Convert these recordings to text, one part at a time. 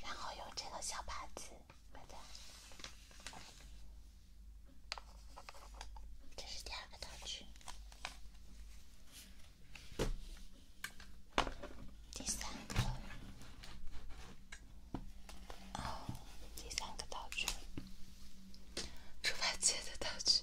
然后用这个小耙子，这是第二个道具，第三个，哦，第三个道具，猪八戒的道具。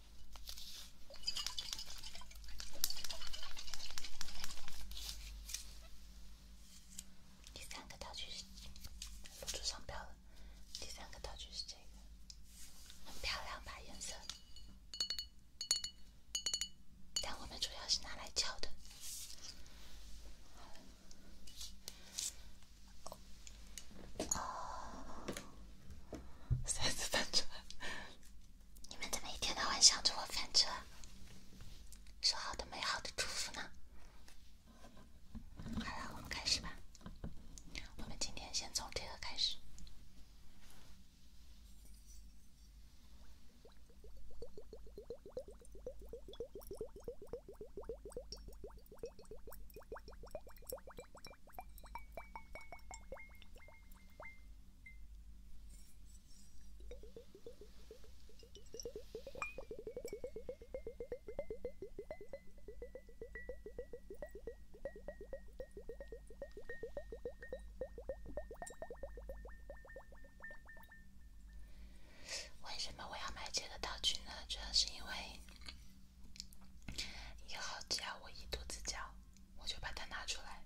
第三个道具是露出商标了。第三个道具是这个，很漂亮吧？颜色，但我们主要是拿来敲的。哦，再次搬出你们怎么一天到晚想着我犯错？说好的美好的祝福呢？好了，我们开始吧。我们今天先从这个开始。为什么我要买这个道具呢？主要是因为以好只我一肚子叫。我就把它拿出来，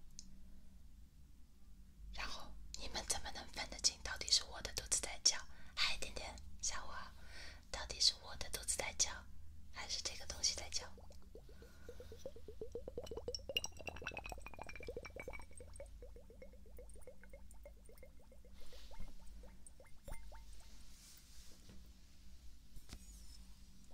然后你们怎么能分得清，到底是我的肚子在叫？嗨，点点，下午好，到底是我的肚子在叫，还是这个东西在叫？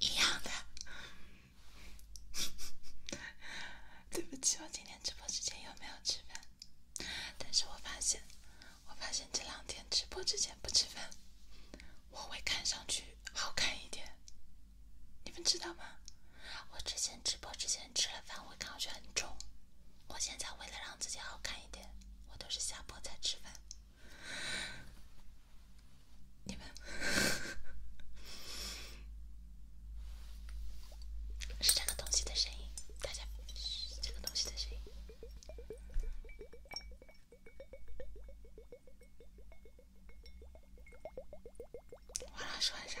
一样的。对不起，我今天直播之前有没有吃饭？但是我发现，我发现这两天直播之前不吃饭，我会看上去。好看一点，你们知道吗？我之前直播之前吃了饭，我感觉很重。我现在为了让自己好看一点，我都是下播再吃饭。你们 是这个东西的声音，大家，是这个东西的声音。我老说欢啥？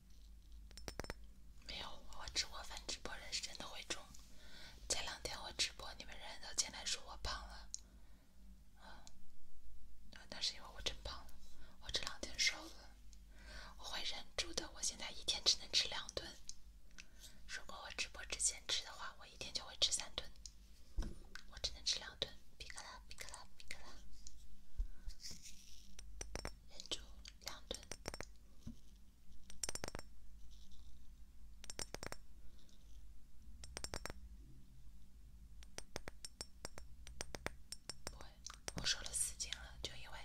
没有，我直播饭直播人是真的会重。前两天我直播，你们人都进来说我胖了。啊，那是因为我真胖了。我这两天瘦了，我会忍住的。我现在一天只能吃两顿。如果我直播之前吃的话，我一天就会吃三顿。我只能吃两顿，皮卡啦皮卡啦皮卡啦。忍住两顿。我瘦了四斤了，就因为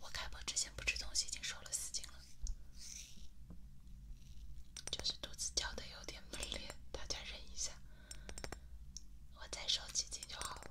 我开播之前不吃东西，已经瘦了四斤了。就是肚子叫的有点猛烈，大家忍一下，我再瘦几斤就好了。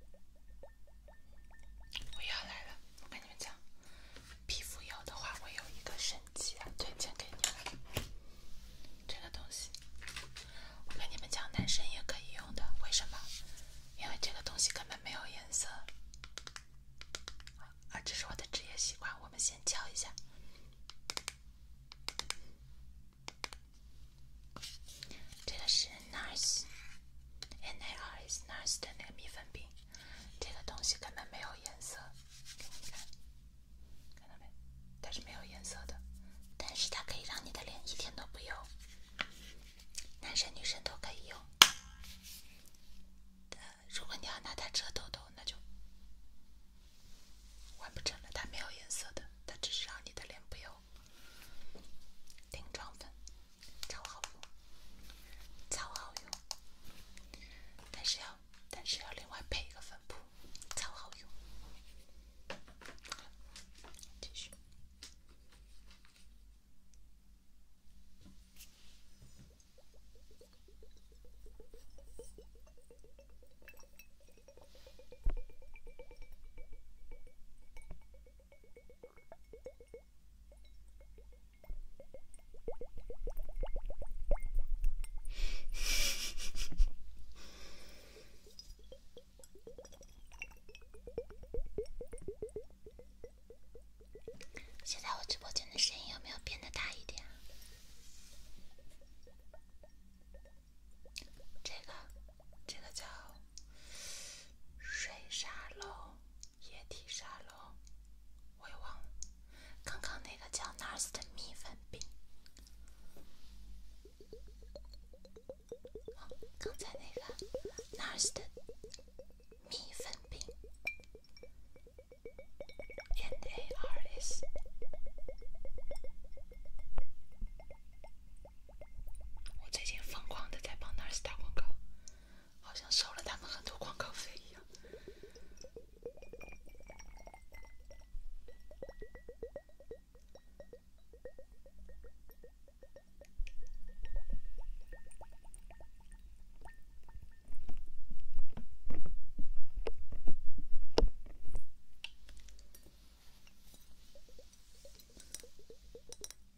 我要来了！我跟你们讲，皮肤油的话，我有一个神器推荐给你们。这个东西，我跟你们讲，男生也可以用的。为什么？因为这个东西根本没有颜色。啊，这是我的职业习惯，我们先敲一下。这个是 NARS，N A R S NARS 的那个蜜粉饼，这个东西根本没有颜色，给你们看，看到没？它是没有颜色的，但是它可以让你的脸一点都不油，男生女生都可以用。如果你要拿它遮痘痘，那就完不成了，它没有颜色的，它只是让你的脸不油。定妆粉，超好用，超好用，但是要但是要另外配一个粉扑，超好用。继续。现在我直播间的声音有没有变得大一点？啊？这个，这个叫水沙龙，液体沙龙，我也忘了。刚刚那个叫 NARS 的蜜粉饼，好，刚才那个 NARS 的蜜粉饼，N A R S。我最近疯狂的在帮 NARS 打广告，好像收了他们很多广告费一样。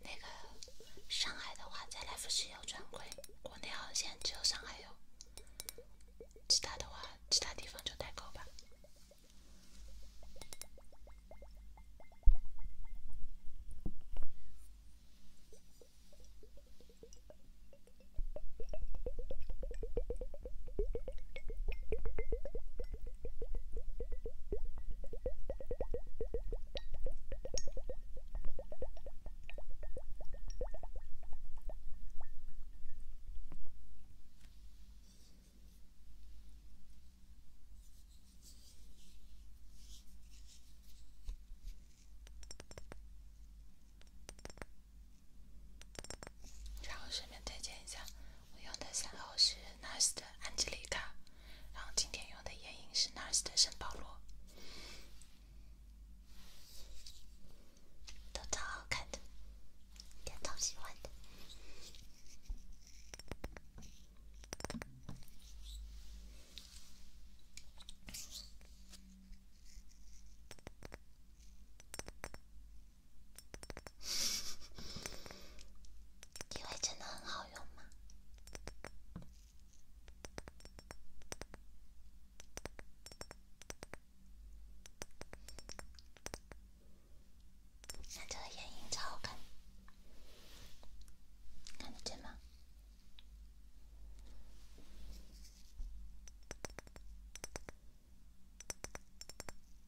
那个上海的话，在来福士有专柜，国内好像只有上海有，其他的话，其他地方就代购吧。然后顺便推荐一下，我用的电脑是。Nars 的 Angelica，然后今天用的眼影是 Nars 的圣保罗，都超好看的，也超喜欢的。底 妆真的很好用吗？看这个眼影超好看，看这吗？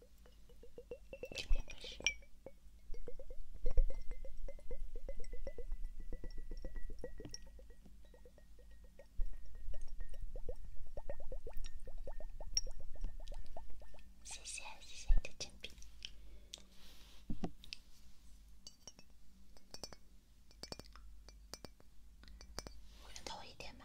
谢谢谢谢你的金币，能投一点吗？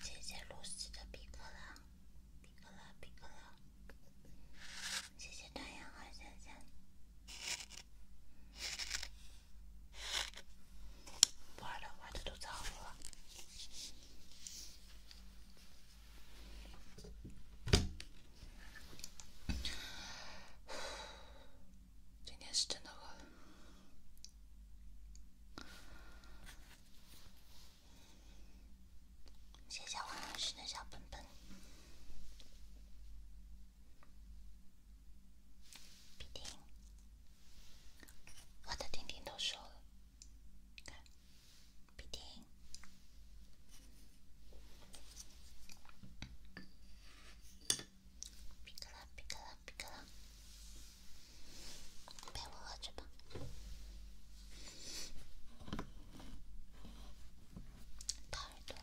谢谢罗斯的皮格拉，皮格拉，皮格拉。谢谢太阳海三三。玩了，玩的都子了。今天是真的饿。谢谢王老师的本本。钉钉，我的钉钉都收了。看，钉钉，别搁了，别搁了，别搁了，陪我喝着吧。太短。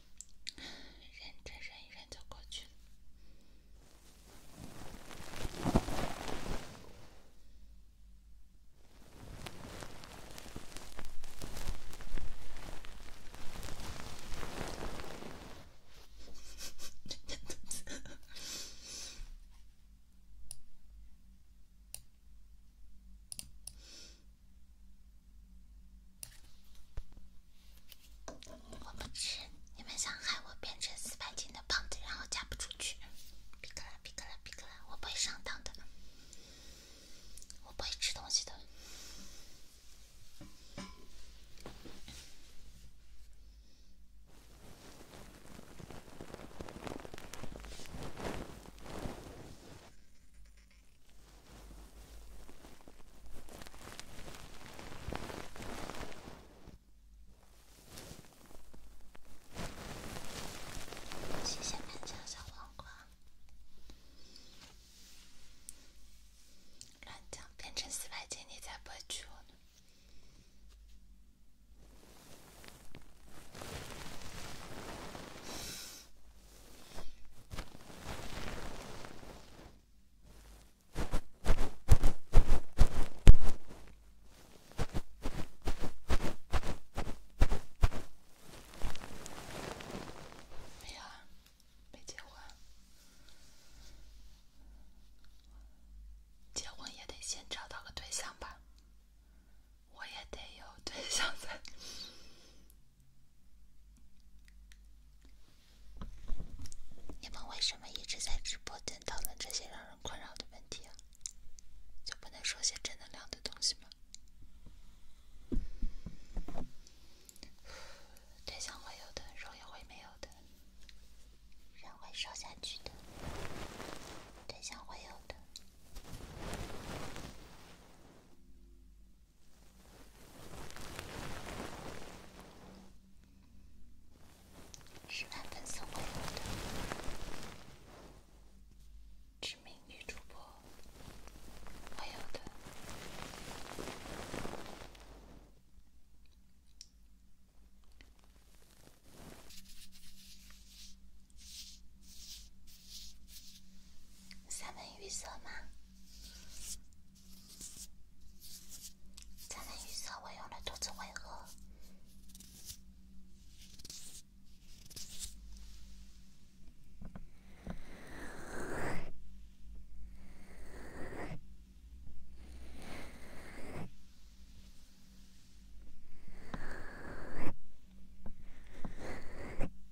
忍着，忍一忍就过去了。我不吃，你们想害我变成四百斤的胖子，然后嫁不出去？皮克拉，皮克拉，皮克拉，我不会上当的，我不会吃东西的。谢谢乱讲小黄瓜。乱讲，变成四百斤你才不娶我呢。没啊，没结婚。结婚也得先找到个对象吧，我也得有对象才。你们为什么一直在直播间讨论这些让人困扰的问题啊？就不能说些正能量的东西吗？对 象会有的，肉也会没有的，人会瘦下去的，对象会有的。是满分送给我的，知名女主播，我有的。三文鱼色吗？才能预测我饿了，肚子会饿。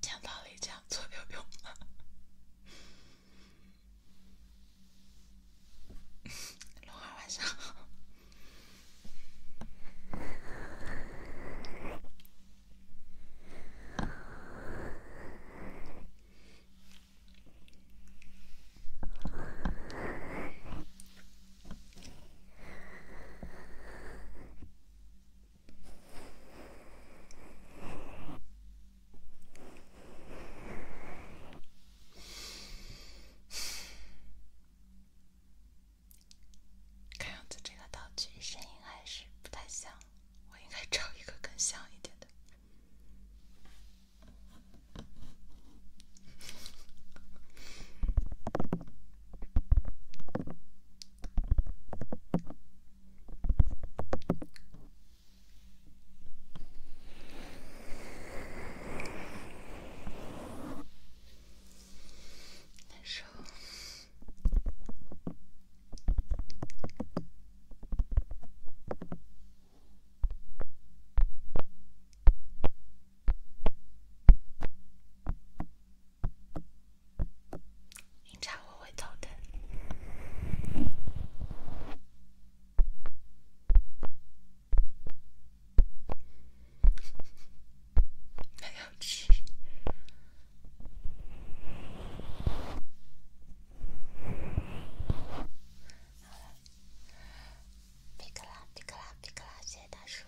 讲道理讲最有用吗？龙儿，晚上。好。看样子，这个道具声音还是不太像。我应该找一个更像一点的，难受。您查我会头疼。没有吃。好了，别磕啦，别磕啦，别磕啦！谢谢大叔，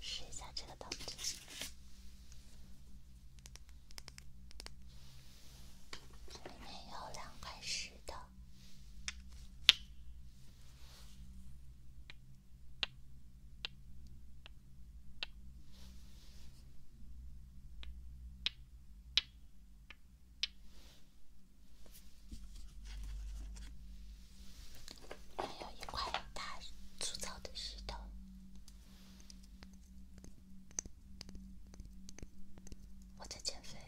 试一下这个道具，这里面有两块石头。还有一块大粗糙的石头。我在减肥，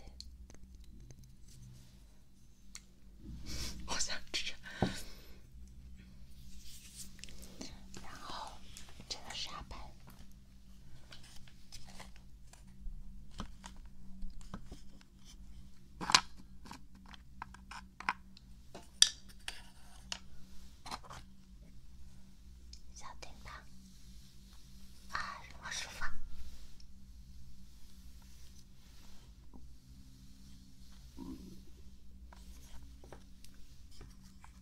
我想吃，然后这个沙盘。小叮当，啊，我舒服。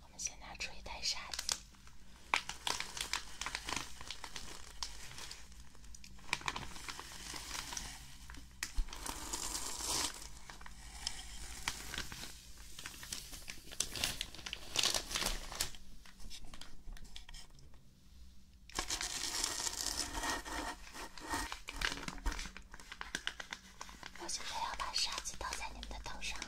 我们先拿出一袋沙子。我现在要把沙子倒在你们的头上了。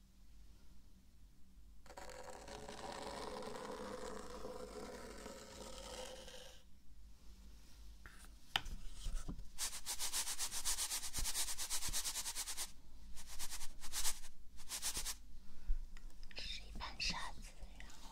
是一盘沙子，然后。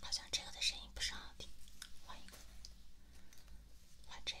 好像这个的声音不是好听，换一个，换这个。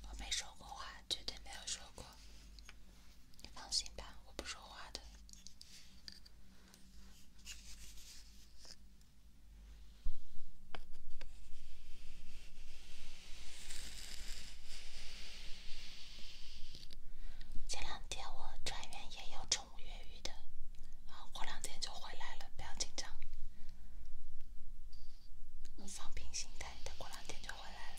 我没说过话，绝对没有说过，你放心吧，我不说话的。前两天我转院，也有宠物越狱的，过两天就回来了，不要紧张，放平心态，等过两天就回来了。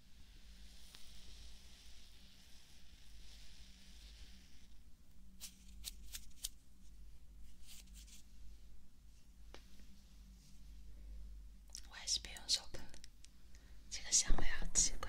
我还是别用手喷了，这个香味好奇怪。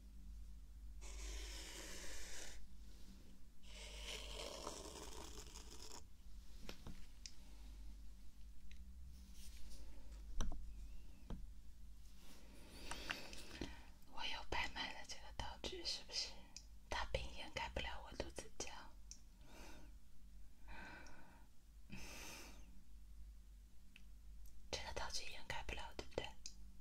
我又拍卖了这个道具，是不是？它并掩盖不了我肚子叫。这个道具掩盖不了，对不对？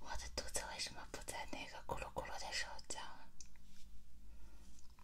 我的肚子为什么不在那个咕噜咕噜的时候叫？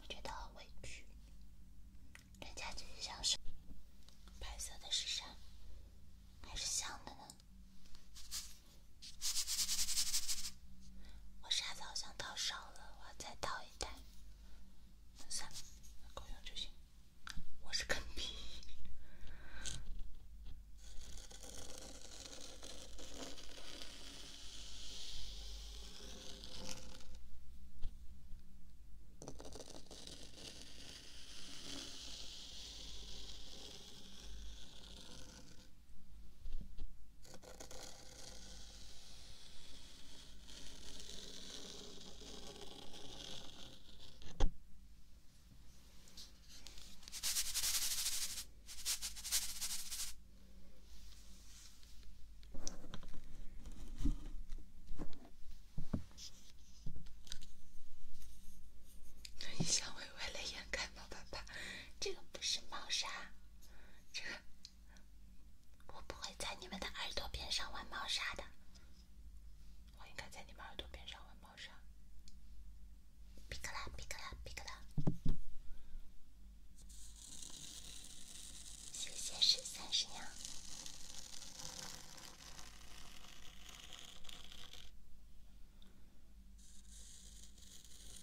我觉得很委屈，人家只是想说，白色的是啥，还是香的呢？我沙子好像倒少了，我要再倒一袋。算了，够用就行。我是坑逼。你 像微微泪眼看到的吧？这个不是猫砂，这个。我不会在你们的耳朵边上玩猫砂的，我应该在你们耳朵边上玩猫砂。比克拉，比克拉，比克拉。谢谢十三十娘。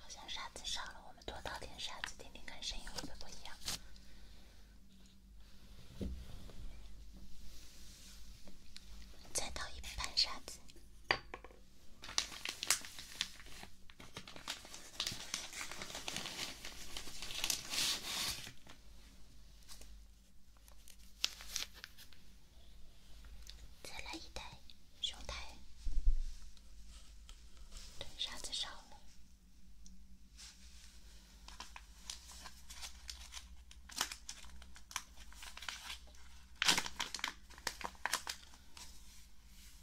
好像沙子少了，我们多倒点沙子，听听看声音会不会一样。再倒一盘沙子。再来一袋，双袋，对，子少了。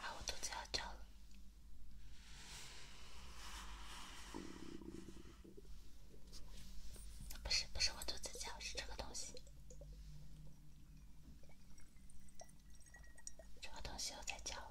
啊！我肚子要叫了，不是不是，我肚子叫，是这个东西，这个东西又在叫了。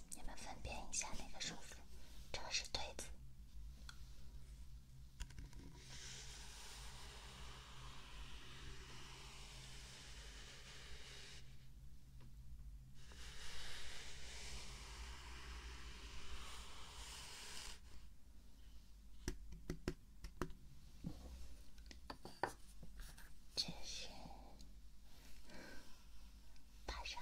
你们分辨一下哪个舒服？这个是对子，这是爬山。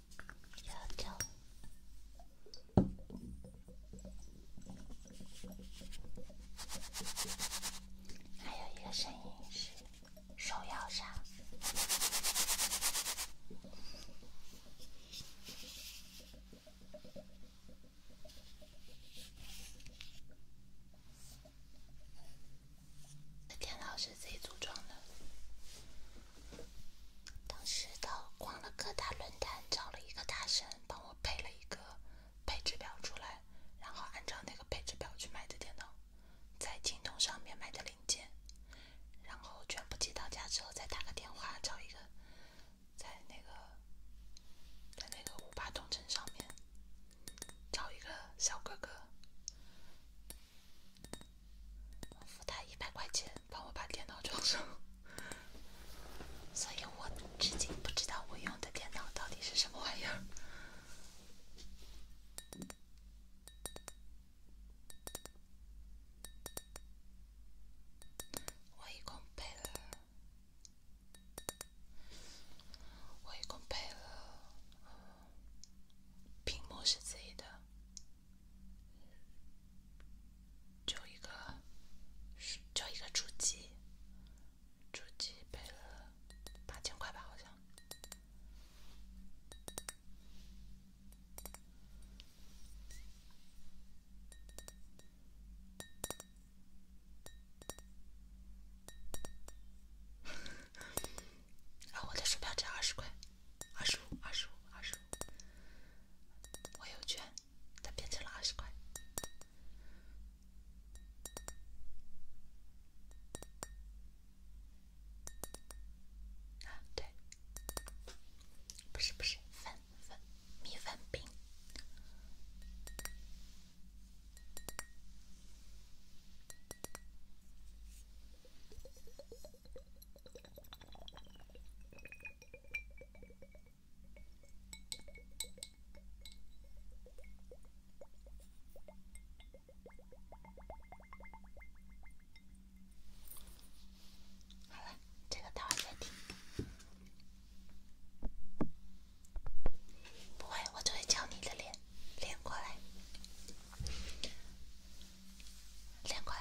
还有，还有一个声音是手摇上。电脑是自己组装的。当时的逛了各大论坛，找了一个大神帮我配了一个配置表出来，然后按照那个配置表去买的电脑，在京东上面买的零件，然后全部寄到家之后，再打个电话找一个在那个在那个五八同城上面找一个小哥哥，付他一百块钱，帮我把电脑装上。所以我至今不知道我用的电脑到底是什么玩意儿。我一共配了，我一共配了，屏幕是自己的。就一个，就一个主机，主机赔了八千块吧，好像。我的鼠标只要二十块，二十五，二十五，二十五。我有券，它变成了二十块。啊，对，不是不是，粉粉米粉饼。好了，这个待会再听。不会，我只会敲你的脸，脸过来，脸过来。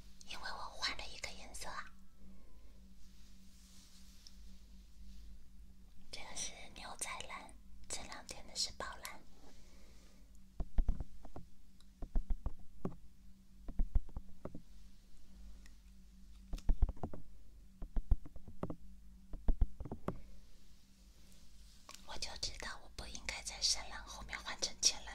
因为我换了一个颜色啊，这个是牛仔蓝，这两天的是宝蓝。我就知道我不应该在深蓝后面换成浅蓝。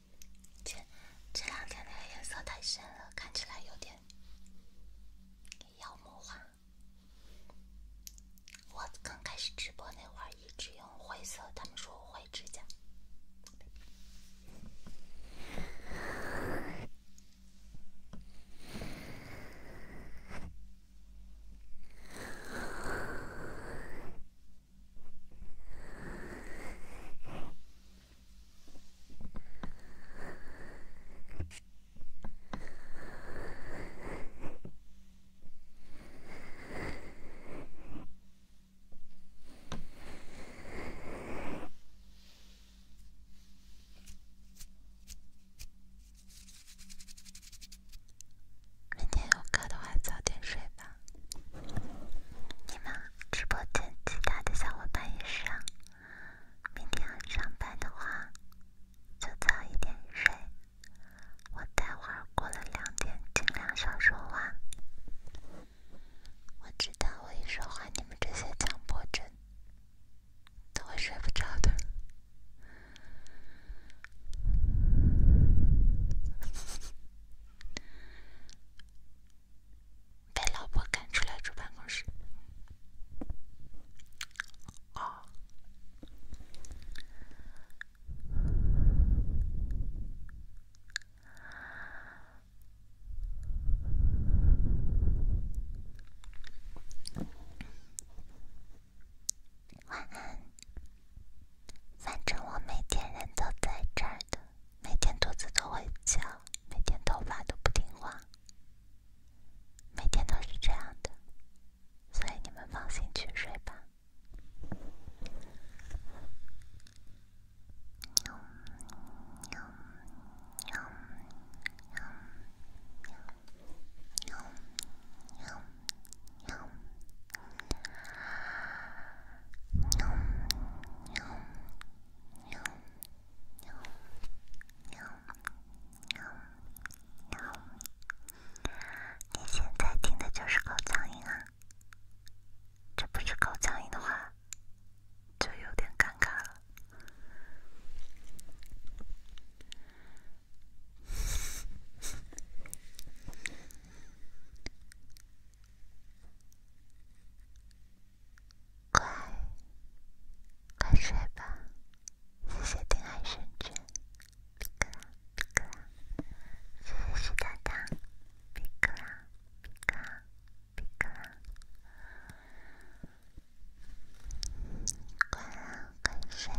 姐，这两天那个颜色太深了，看起来有点妖魔化。我刚开始直播那会儿一直用灰色，他们说我灰指甲。明天有课的话，早点睡吧。你们直播间其他的小伙伴也是啊。明天要上班的话，就早一点睡。我待会儿过了两点，尽量少说话。我知道我一说话，你们这些强迫症都会睡不着的。被老婆赶出来住办公室。晚安。反正我每天人都在这儿的。每天肚子都会叫，每天头发都不听话，每天都是这样的，所以你们放心去睡吧。喵喵喵喵喵！你现在听的就是狗叫声啊？这不是狗叫声的话，就有点尴尬了。乖，快睡吧。谢谢丁海生君，皮卡皮卡，谢谢石头蛋，皮卡皮卡皮卡，乖啊，快睡，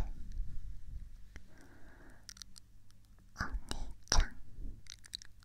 晚安。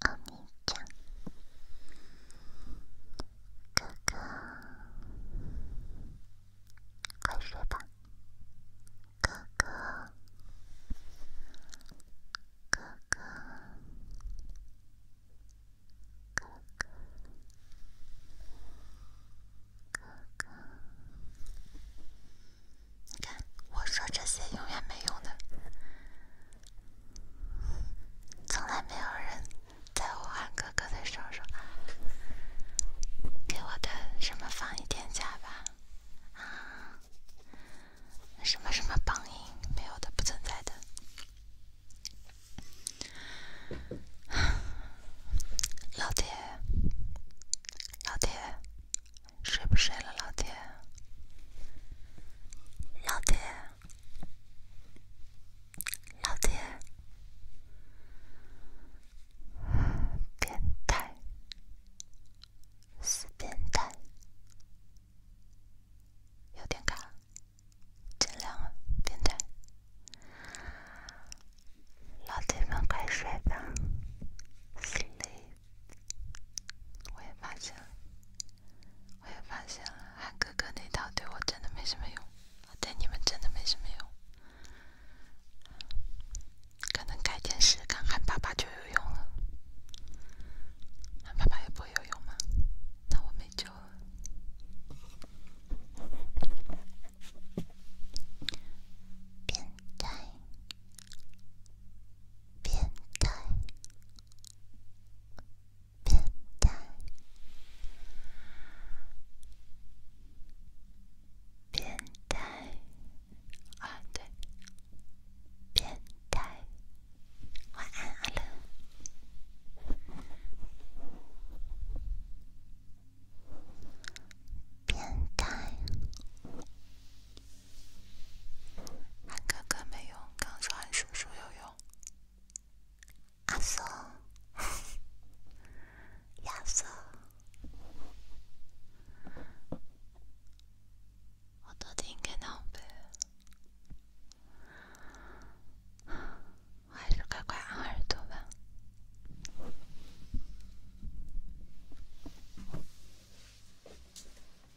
阿米酱，哥哥，快睡吧。哥哥，哥哥，哥哥，哥哥，你看，我说这些永远没用的。从来没有人在我喊哥哥的时候给我跟什么放一天假吧？”什么什么榜一没有的，不存在的。老铁，老铁，睡不睡了，老铁？老爹，老爹，变态，死变态，有点卡，尽量，变态，老铁们快睡吧，sleep。我也发现了，我也发现了，韩哥哥那套对我真的没什么用，对你们真的没什么用。可能改天试看韩爸爸就有用了，韩爸爸也不会有用吗？那我没救了。变态，变态。变态，变态，啊对，变态，晚安阿乐，变态。喊哥哥没用，刚说喊叔叔有用。阿松，亚松，我都听够了不？还是乖乖按耳朵吧。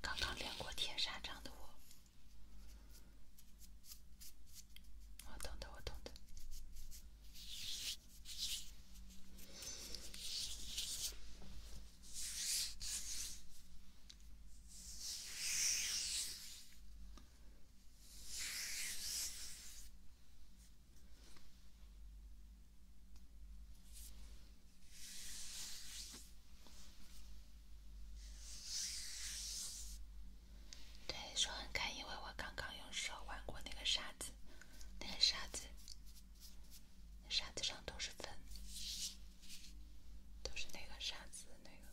刚刚练过铁砂掌的我，我懂的，我懂的。对，说很干，因为我刚刚用手玩过那个沙子，那个沙子，沙子上都是粉，都是那个沙子那个。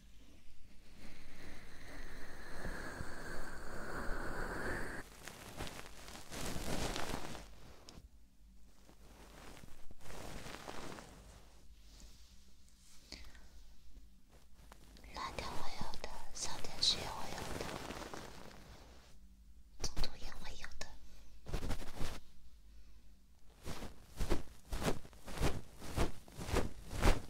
拉掉会有的，上天是会有的，中途也会有的。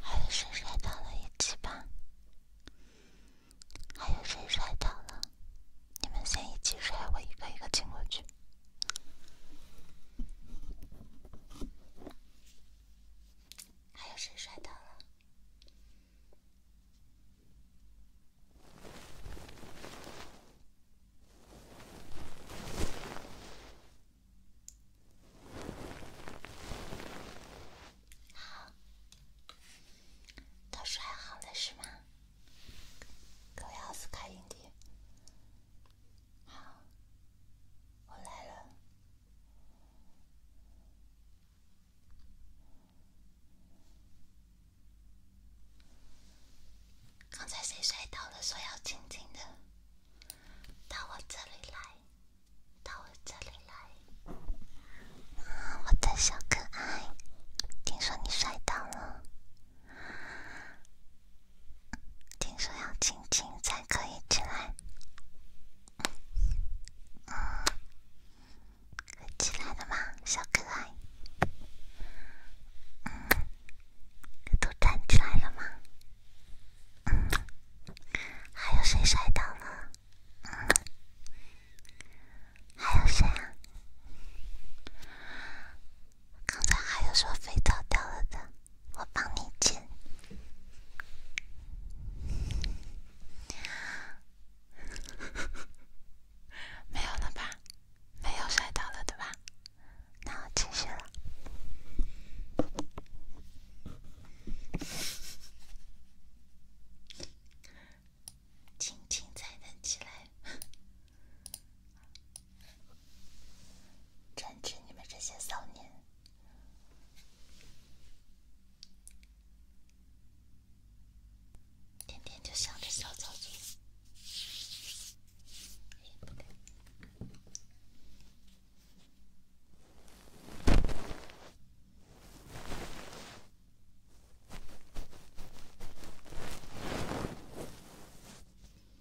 还有谁摔倒了一起吧？还有谁摔倒了？你们先一起摔，我一个一个清过去。还有谁摔倒了？好，都摔好了是吗？各位奥斯卡影帝。好，我来了。刚才谁摔倒了？说要静静的，到我这里来，我的小可爱，听说你摔倒了。听说要亲亲才可以起来。起来了吗，小可爱？都站起来了吗？还有谁摔倒了？还有谁啊？刚才还有说么肥皂掉了的，我帮你捡。没有了吧？没有摔倒了对吧？那我继续了。轻轻才能起来。真治你们这些骚年，天天就想着小操作。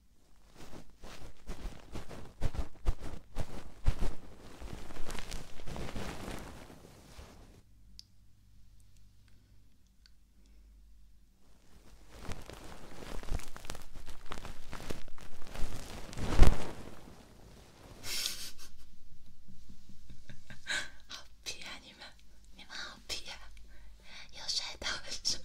好皮啊你们，你们好皮啊，又摔倒了什么？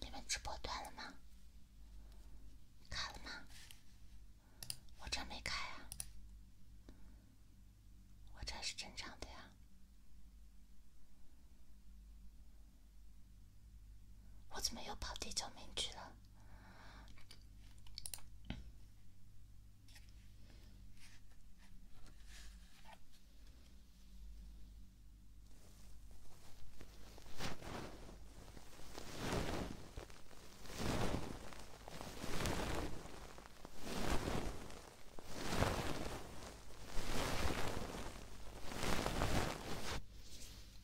你们直播断了吗？卡了吗？我这没开啊，我这是正常的呀。我怎么又跑第九名局了？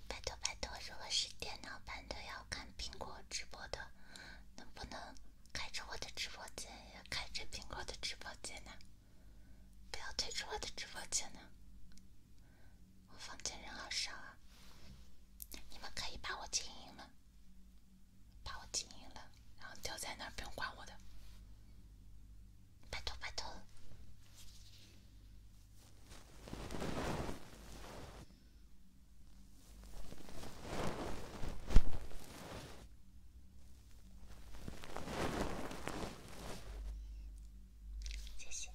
拜托拜托！如果是电脑版的要看苹果直播的，能不能开着我的直播间，也开着苹果的直播间呢？不要退出我的直播间呢，我房间人好少啊，你们可以把我静音了，把我静音了，然后丢在那儿不用管我的，拜托拜托。谢谢，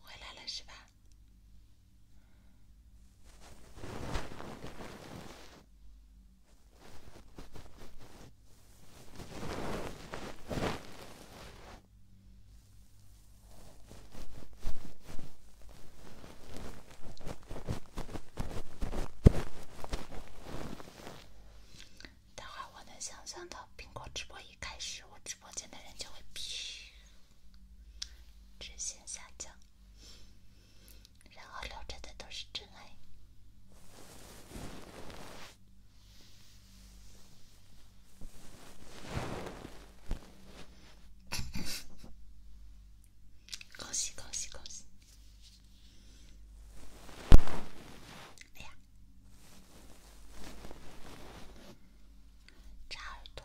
回来了是吧？待会儿我能想象到，苹果直播一开始，我直播间的人就会。直线下降，然后留着的都是真爱。恭喜恭喜恭喜！哎呀，扎耳朵。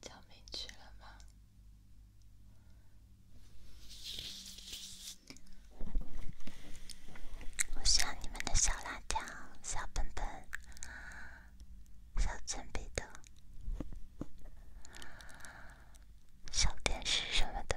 照明去了吗？我需要你们的小辣条、小本本、小铅笔头、小电视什么的。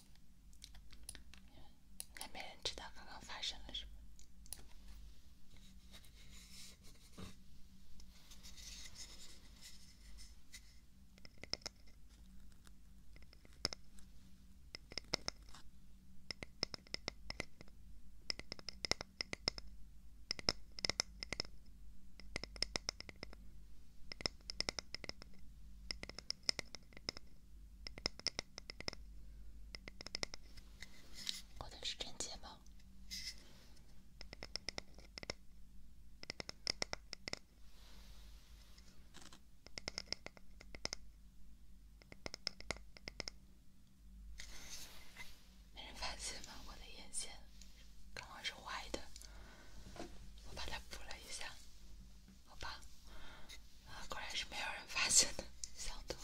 还没人知道刚刚发生了什么。我的是真睫毛，没人发现吗？我的眼线刚好是歪的，我把它补了一下。好吧，啊，果然是没有人发现的，想多了。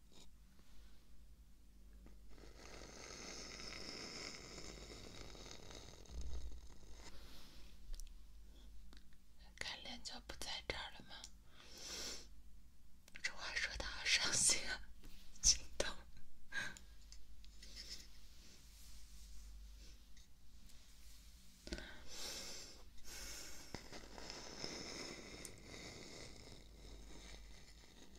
干练就不在这儿了吗？这话说的好伤心啊，心疼。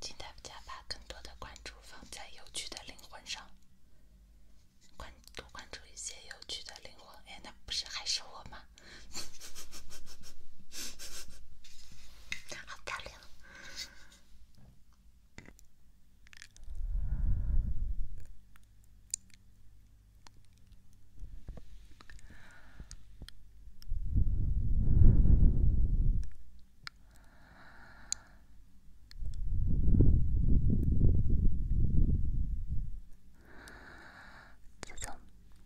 请大家把更多的关注放在有趣的灵魂上。关多关注一些有趣的灵魂，哎，那不是还是我吗？好漂亮。自从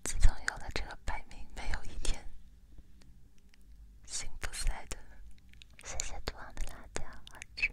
自从有了这个排名，没有一天幸福赛的。谢谢杜昂的辣椒好吃。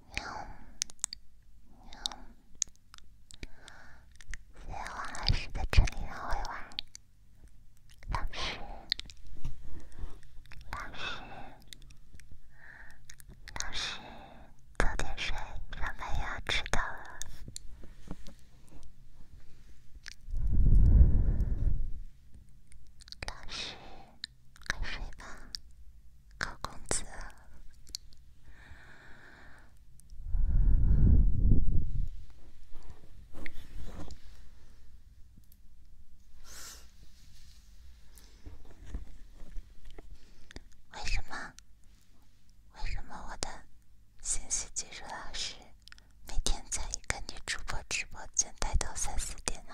喵。牛，小王还是在这里很会玩。老师，老师，老师，早点睡，上班要迟到了。老师。快睡吧，高公子。为什么？为什么我的信息技术老师每天在一个女主播直播间待到三四点呢？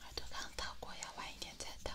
耳朵刚掏过，要晚一点再掏。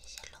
谢谢鹿儿。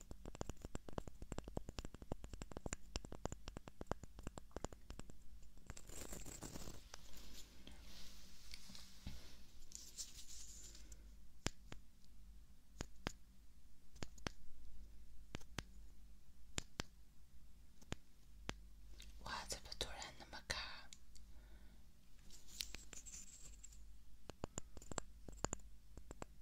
哇，怎么突然那么卡？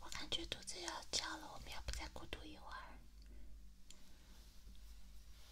我感觉肚子要叫了，我们要不再孤独一会儿。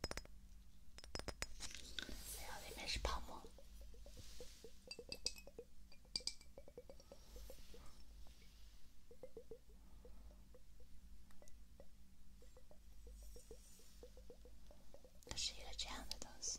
哎呀，里面是泡沫，它是一个这样的东西。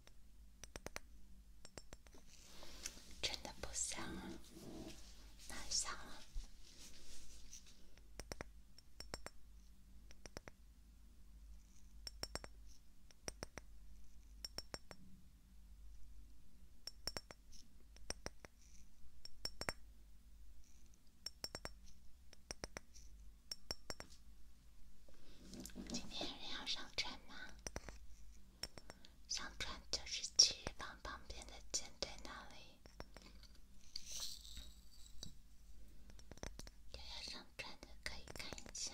真的不想，太想了。今天人要上车吗？上传就是七日榜旁边的舰队那里，想要上传的可以看一下。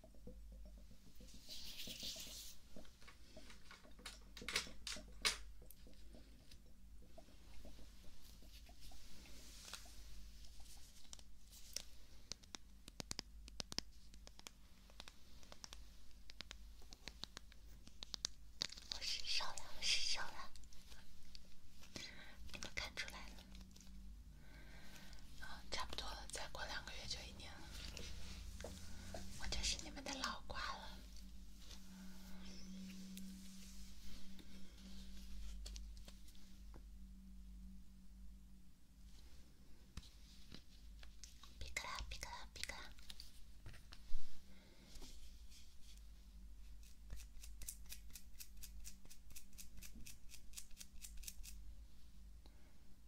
我失手了，我失手了，你们看出来了。啊，差不多了，再过两个月就一年了，我就是你们的老瓜了。别搁啦，别搁啦，别搁啦。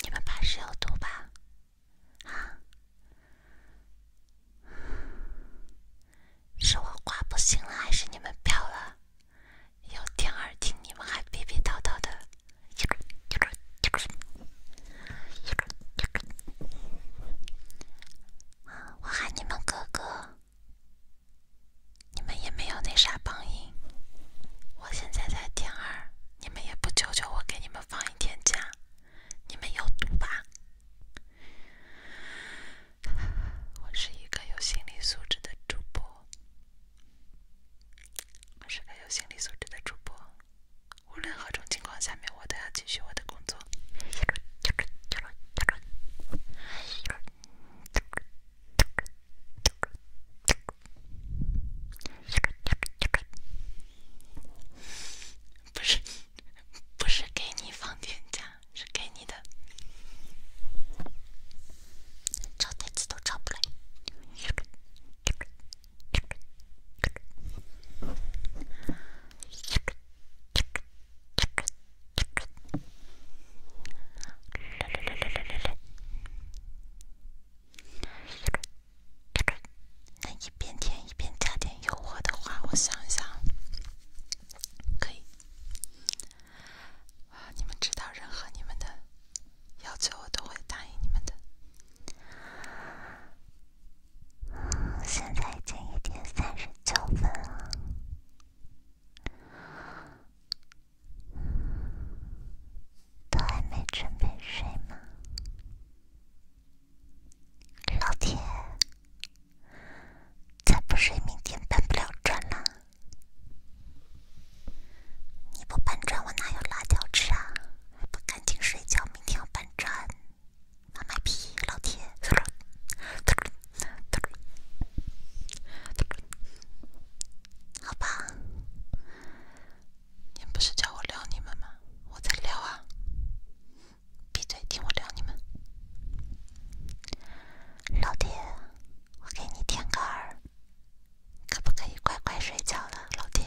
你们怕是有毒吧？是我挂不行了，还是你们飘了？有天耳听你们还逼逼叨叨的。我喊你们哥哥，你们也没有那啥帮音。我现在在天二，你们也不求求我给你们放一天假，你们有毒吧？我是一个有心理素质的主播，是个有心理素质的主播。无论何种情况，下面我都要继续我的工作。不是，不是给你放天假，是给你的。找单词都找不来。来来来来来来来！来来来来，能一边听一边加点诱惑的话，我想一想，可以。啊，你们知道任何你们的。要求我都会答应你们的。现在已经一点三十九分了，都还没准备睡吗？老铁，再不睡明天搬不了砖了。你不搬砖，我哪有辣椒吃啊？还不赶紧睡觉，明天要搬砖！妈卖批，老铁！好吧，你们不是叫我聊你们吗？我在聊啊，闭嘴，听我聊你们。老铁，我给你点个耳，可不可以乖乖睡觉了，老铁？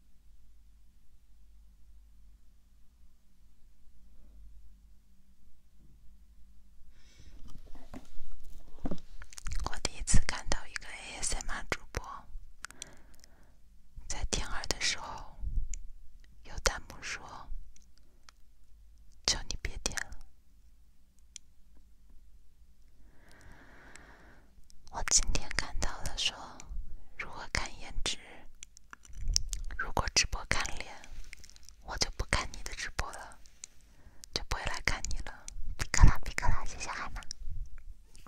我第一次看到一个 ASMR 主播在点耳的时候，有弹幕说：“求你别点了。”我今天看到了说，如果看颜值，如果直播看脸，我就不看你的直播了，就不会来看你了。皮克皮克谢谢海娜。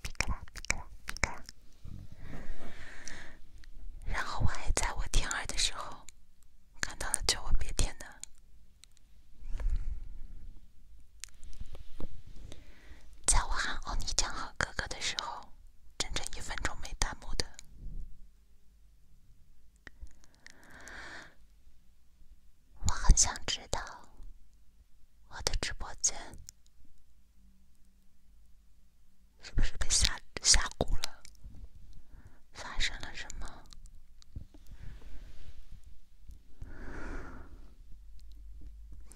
皮克皮克皮克然后我还在我点二的时候，看到了求我别点的。在我喊“奥尼江”和“哥哥”的时候，整整一分钟没弹幕的，我很想知道我的直播间是不是被吓吓鼓了？发生了什么？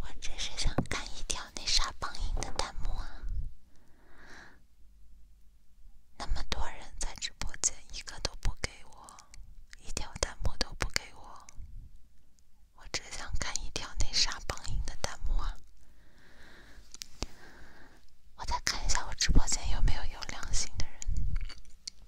我只是想看一条那啥榜一的弹幕啊！那么多人在直播间，一个都不给我，一条弹幕都不给我。我只想看一条那啥榜一的弹幕啊！我再看一下我直播间有没有有良心的人。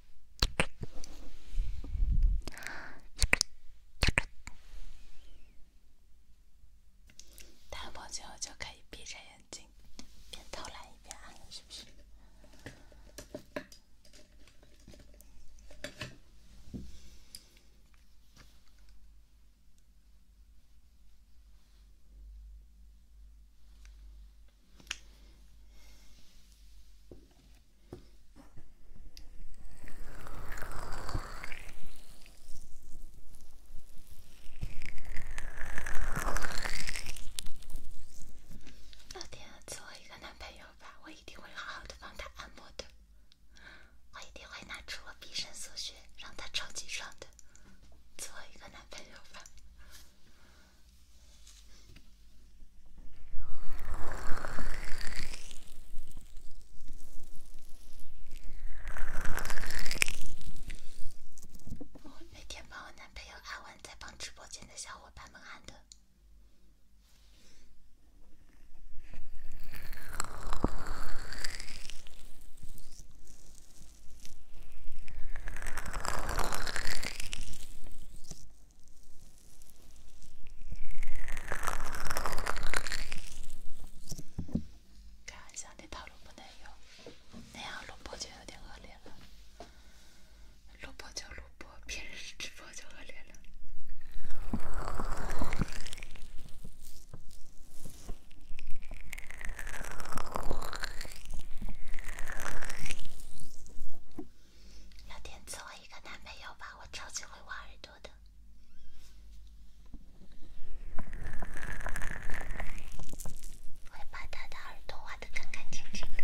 再不久就可以闭着眼睛，边偷懒一边安，是不是？老天，赐我一个男朋友吧！我一定会好好的帮他按摩的，我一定会拿出我毕生所学，让他超级爽的。赐一个男朋友吧！每天帮我男朋友阿文，在帮直播间的小伙伴们喊的。看上的套路不能有，那样录播就有点恶劣了。录播就录播，平时直播就恶劣了。要点做一个男朋友吧，我超级会挖耳朵的，会把他的耳朵挖的干干净净的。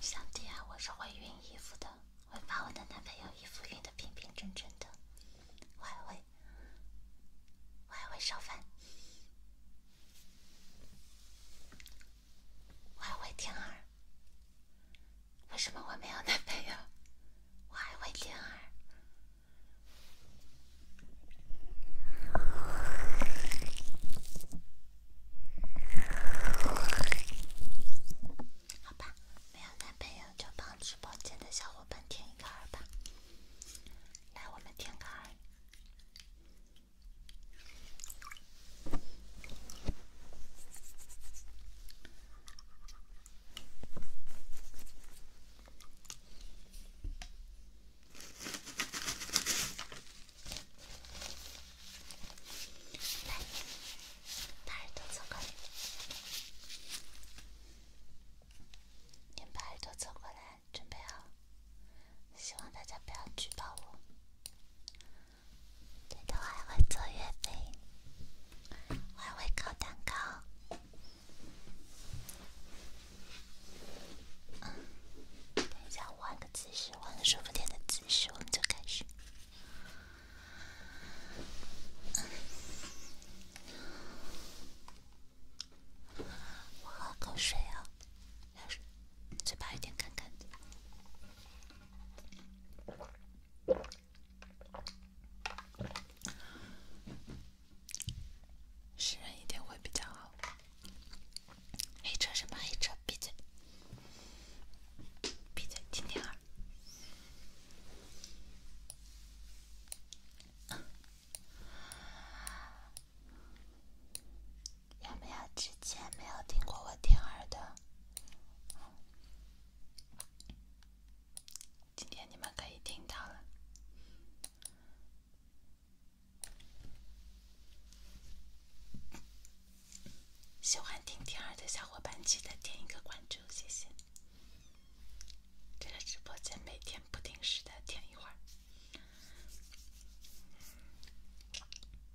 小弟啊，我是会熨衣服的，会把我的男朋友衣服熨的平平整整的。我还会，我还会烧饭，我还会听儿。为什么我没有男朋友？我还会听儿？好吧，没有男朋友就帮直播间的小伙伴听一个儿吧。来，我们听个儿。把耳朵凑过来，您把耳朵凑过来，准备好。希望大家不要举报我。最多还会做月饼，我还会烤蛋糕。嗯，等一下，换个姿势，换个舒服点的姿势，我们就开始。我喝口水啊，牙齿，嘴巴有点干干的。食人一定会比较好。黑车什么黑车？闭嘴！闭嘴！听听耳。有没有之前没有听过我听耳的？今天你们可以听到了，喜欢听天儿的小伙伴记得点一个关注，谢谢。这个直播间每天不定时的点一会儿。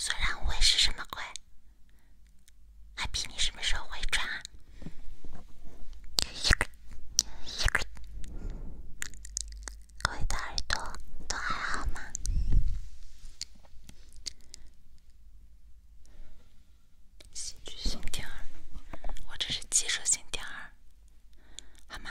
虽然我是什么鬼，Happy，你什么时候回转啊？各位的耳朵都还好吗？戏剧性点儿，我这是技术性点儿，好吗？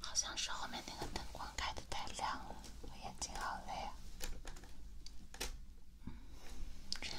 好像是后面那个灯光开的太亮了，我眼睛好累啊。这样。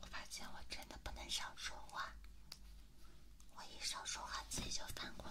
我发现我真的不能少说话，我一少说话自己就犯困。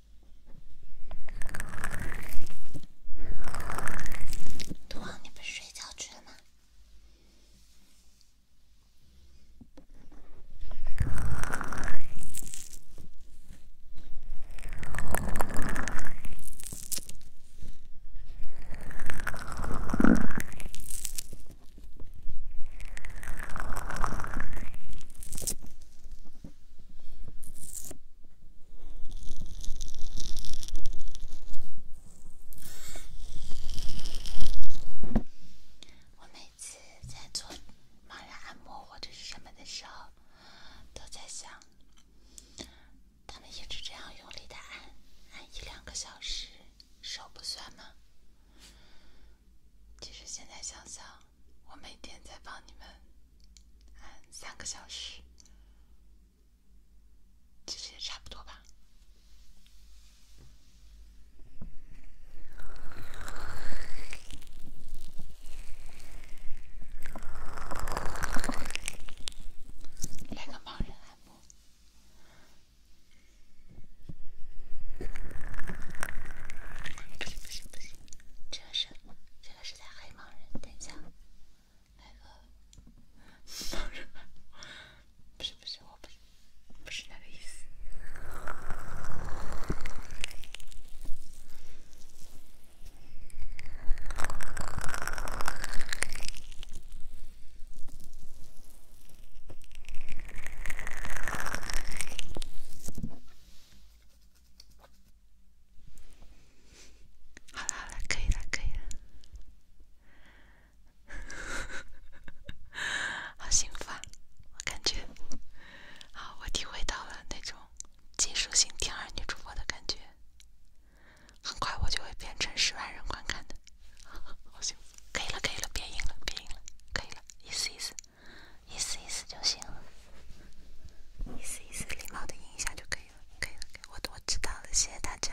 多昂，你不是睡觉去了吗？我每次在做盲人按摩或者是什么的时候，都在想，他们一直这样用力的按，按一两个小时，手不酸吗？其实现在想想。我每天在帮你们按三个小时，其实也差不多吧。来个盲人按摩。不行不行不行，这声。这个是在黑盲人，等一下，那个不是不是，我不是，不是那个意思。好了好了，可以了可以了，好幸福啊！我感觉，好，我体会到了那种技术性第二女主播的感觉。很快我就会变成十万人观看的，好幸福！可以了可以了，别赢了别赢了，可以了，意思意思。意思意思就行了，意思意思礼貌的影响就可以了，可以了。我我知道了，谢谢大家。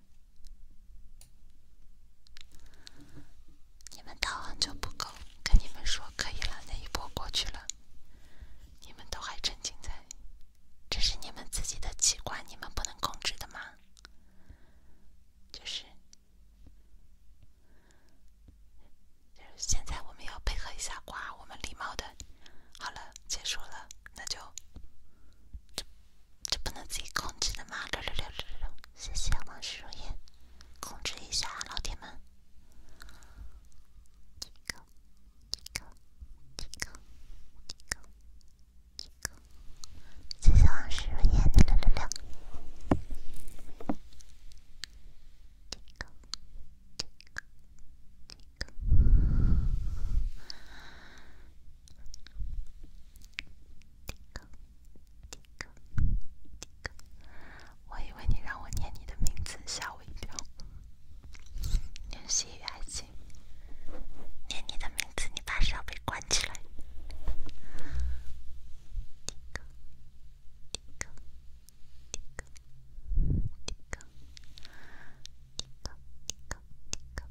你们导航就不够，跟你们说可以了，那一波过去了，你们都还沉浸在，这是你们自己的器官，你们不能控制的吗？就是，就是现在我们要配合一下，哇，我们礼貌的，好了，结束了，那就。就不能自己控制的吗？六六六六六六，谢谢王石如烟，控制一下，老铁们。提高，提高，提高，提高，提高。谢谢王石如烟的六六六。提高，提高，提高。滴个滴个滴个，我以为你让我念你的名字，吓我一跳。念西语还行，念你的名字，你怕是要被关起来。滴个滴个滴个滴个滴个滴个滴个滴个滴个。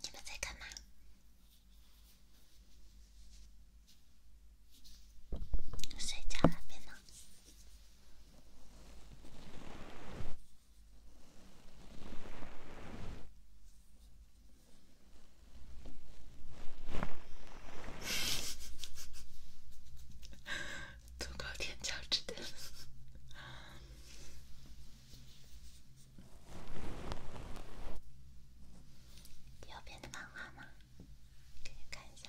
你们在干嘛？睡觉了，别 闹。右边的漫画吗？给你看一下。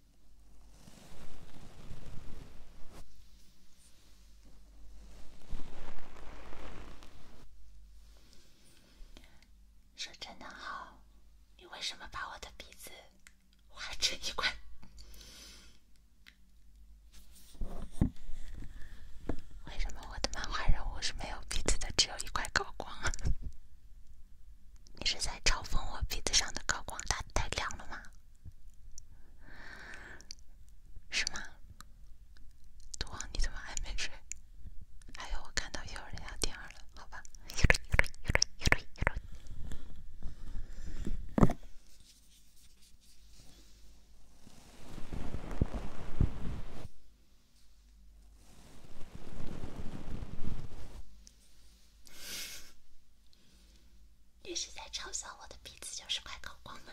说真的，好，你为什么把我的鼻子画成一块？为什么我的漫画人物是没有鼻子的，只有一块高光啊？你是在嘲讽我鼻子上的高光打太亮了吗？是吗？杜王，你怎么还没睡？还有，我看到有人要第二了，好吧。你是在嘲笑我的鼻子就是快搞光了？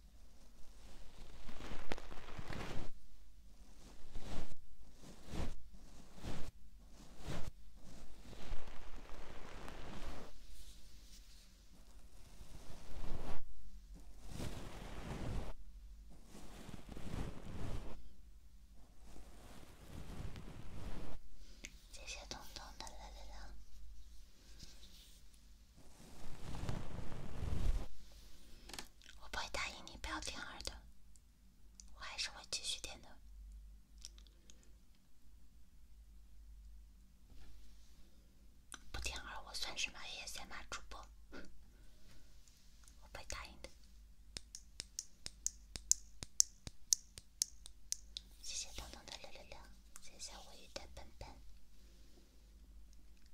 谢谢彤彤的了了了。我不会答应你不要点二的，我还是会继续点的。不点二我算什么？也先骂主播。我会答应的。谢谢彤彤的六六六，谢谢我鱼的笨笨。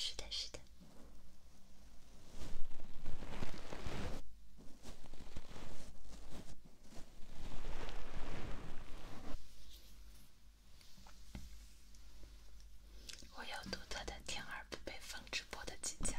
是的，是的。我有独特的天而不被风直波的技巧。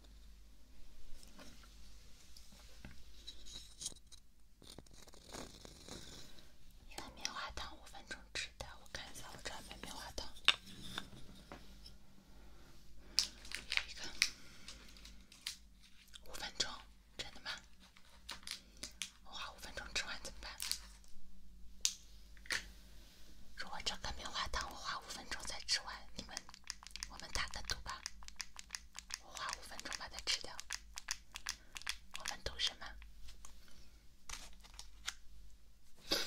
一碗棉花糖五分钟吃的，我看一下，我这碗棉花糖有一个，五分钟，真的吗？我花五分钟吃完怎么办？如果这个棉花糖我花五分钟才吃完，你们我们打个赌吧。我花五分钟把它吃掉，我们同学们。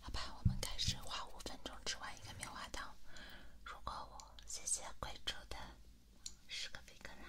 好吧，我们开始画五分钟吃完一个棉花糖。如果我谢谢贵州的十个贵州人。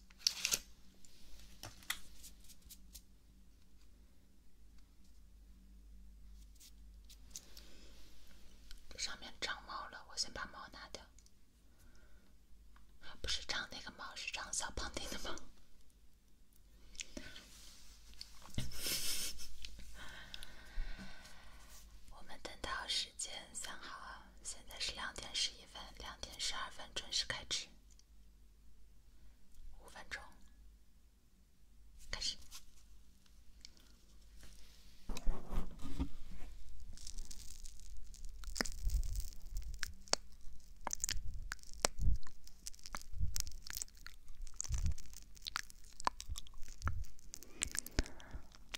上面长毛了，我先把毛拿掉。不是长那个毛，是长小胖丁的毛。我们等到时间三号。现在是两点十一分，两点十二分准时开吃。五分钟，开始。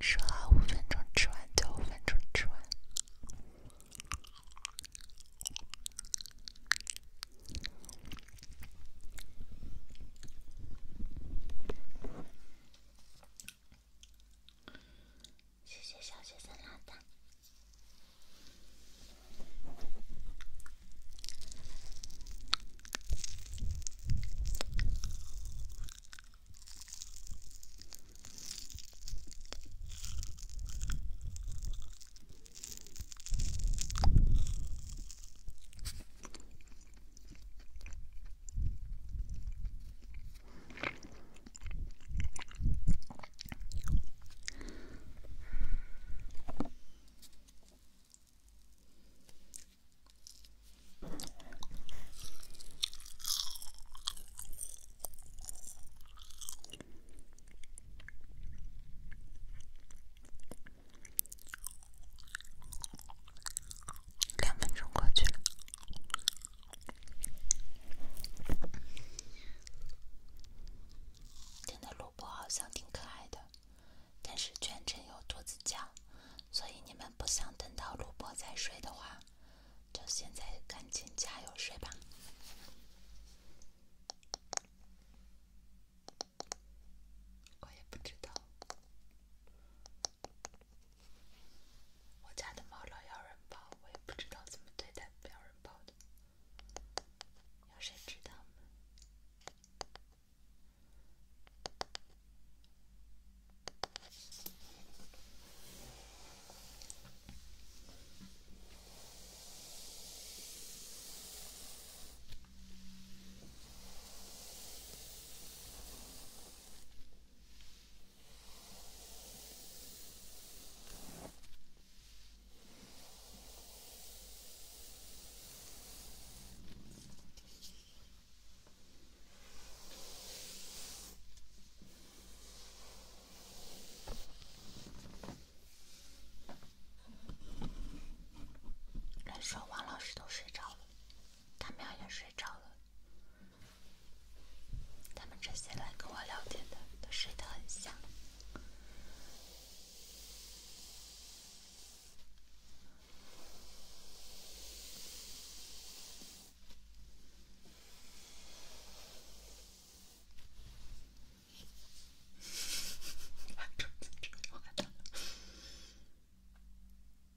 说好五分钟吃完，就五分钟吃完。谢谢小学生老大。两分钟过去了。真的，主播好像挺可爱的，但是全程有兔子叫，所以你们不想等到主播再睡的话，就现在赶紧加油睡吧。我也不知道。我家的猫老要人抱，我也不知道怎么对待不要人抱的，有谁知道吗？来说，王老师都睡着了。他们也睡着了，他们这些来跟我聊天的都睡得很香。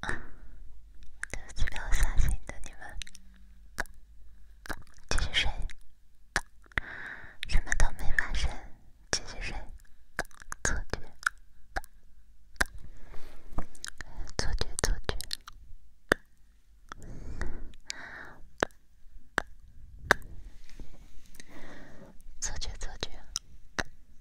都比较伤心的你们，继续睡，什么都没发生，继续睡，错觉，错觉，错觉，错觉，错觉。我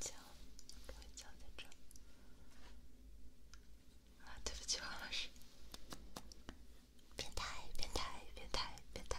教，我教在这儿。啊，对不起，老师。变态，变态，变态，变态。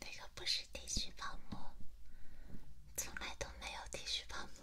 那个不是 T 恤泡沫，从来都没有 T 恤泡沫。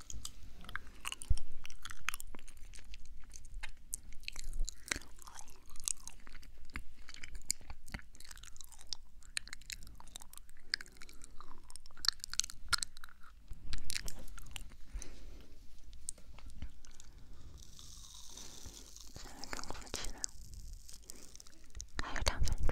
现在更空气了，还有两分钟。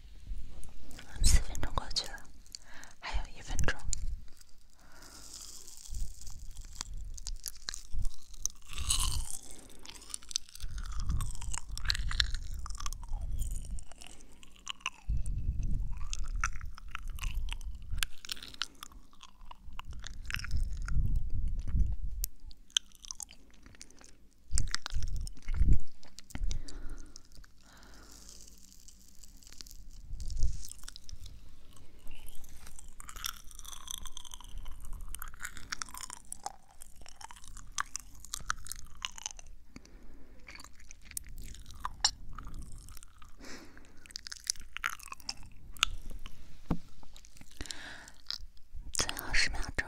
四分钟过去了，还有一分钟。最后十秒钟。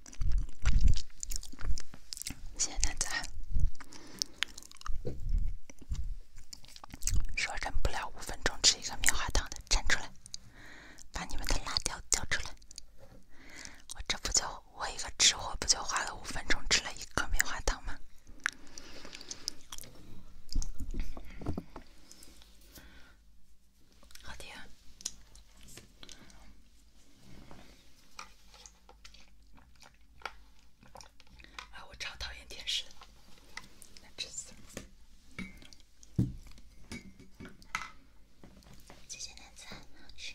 谢谢大家。说忍不了五分钟吃一个棉花糖的站出来，把你们的辣条交出来！我这不就我一个吃货不就花了五分钟吃了一颗棉花糖吗？好甜。哎，我超讨厌甜食，难吃死了！姐姐的菜很好吃。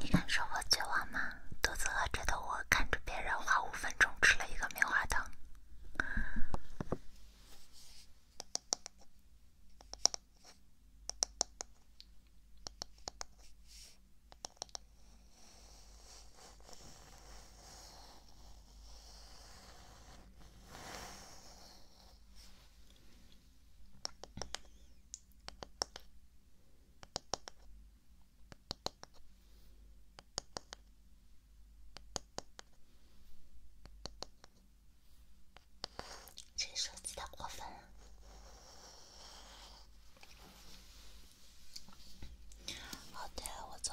你感受过绝望吗？肚子饿着的我，看着别人花五分钟吃了一个棉花糖。这设计的过分了。哦，对了，我昨。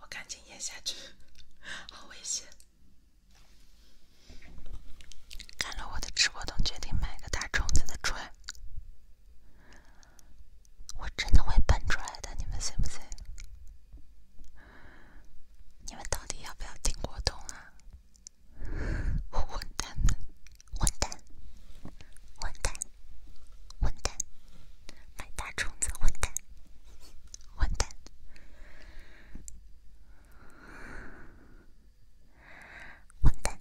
我赶紧咽下去，好危险！看了我的吃果冻，决定买个大虫子的船。我真的会喷出来的，你们信不信？你们到底要不要听果冻啊？混蛋们！混蛋！混蛋！混蛋！买大虫子！混蛋！混蛋！混蛋！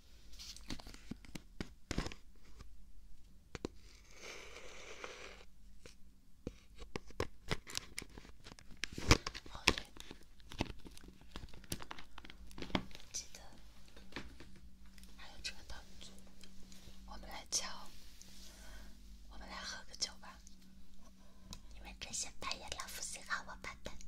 哦对，记得还有这个道具。我们来敲，我们来喝个酒吧。你们这些半夜聊夫妻好，我扮的。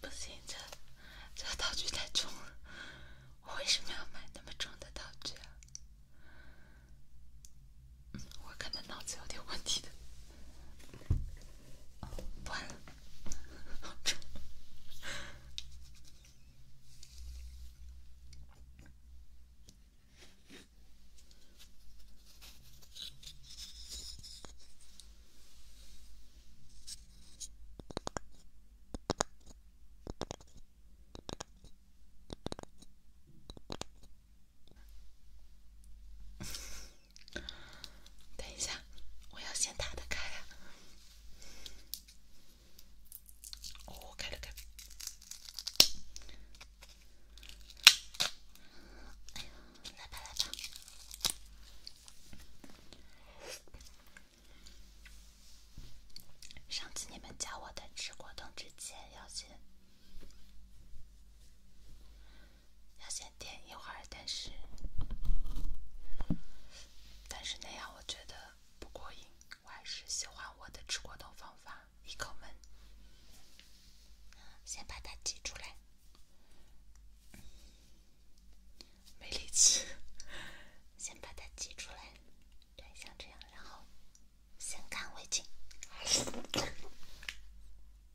不行，这这道具太重了。我为什么要买那么重的道具啊？我看他脑子有点问题的，完了，好臭。等一下，我要先打的开啊！哦，开了，开了。哎呀，来吧来吧。上次你们教我的吃果冻之前要先。要先点一会儿，但是但是那样我觉得不过瘾，我还是喜欢我的吃果冻方法，一口闷。先把它挤出来，没力气。先把它挤出来，对，像这样，然后先干为敬。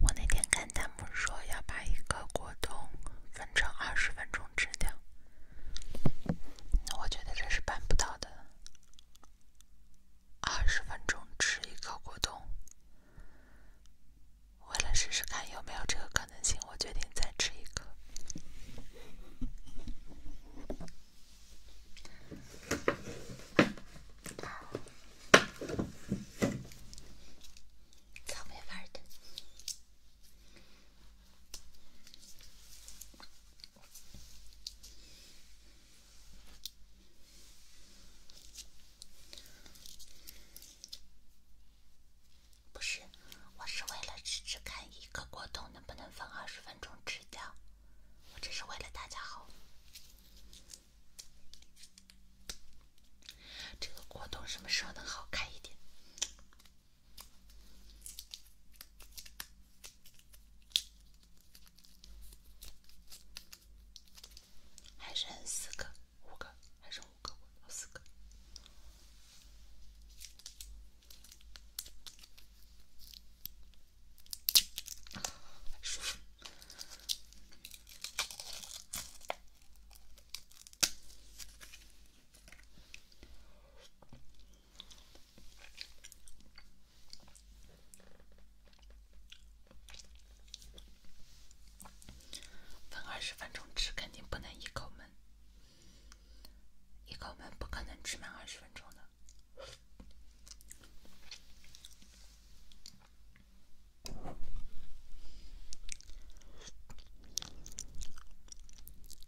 我那天看弹幕说要把一个果冻分成二十分钟。质量。我觉得这是办不到的。二十分钟吃一个果冻，为了试试看有没有这个可能性，我决定再吃一个。草莓味的。不是，我是为了试试看一个果冻能不能放二十分钟吃掉。我只是为了大家好。这个果冻什么时候能好看一点？还剩四个、五个，还剩五个、四个。来数数。分二十分钟吃，肯定不能一口闷，一口闷不可能吃满二十分钟的。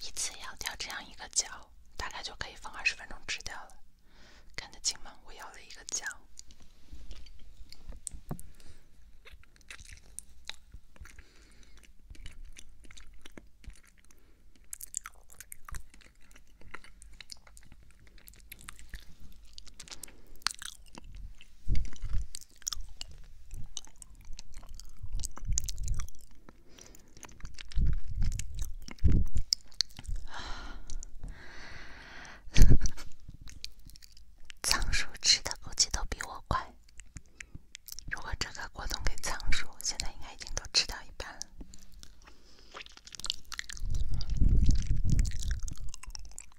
一次咬掉这样一个角，大概就可以放二十分钟吃掉了。看得清吗？我咬了一个角。仓鼠吃的估计都比我快。如果这个果冻给仓鼠，现在应该已经都吃到一半了。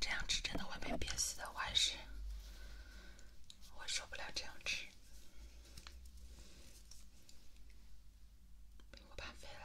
这样吃真的会被憋死的，我还是我受不了这样吃，被我半废了。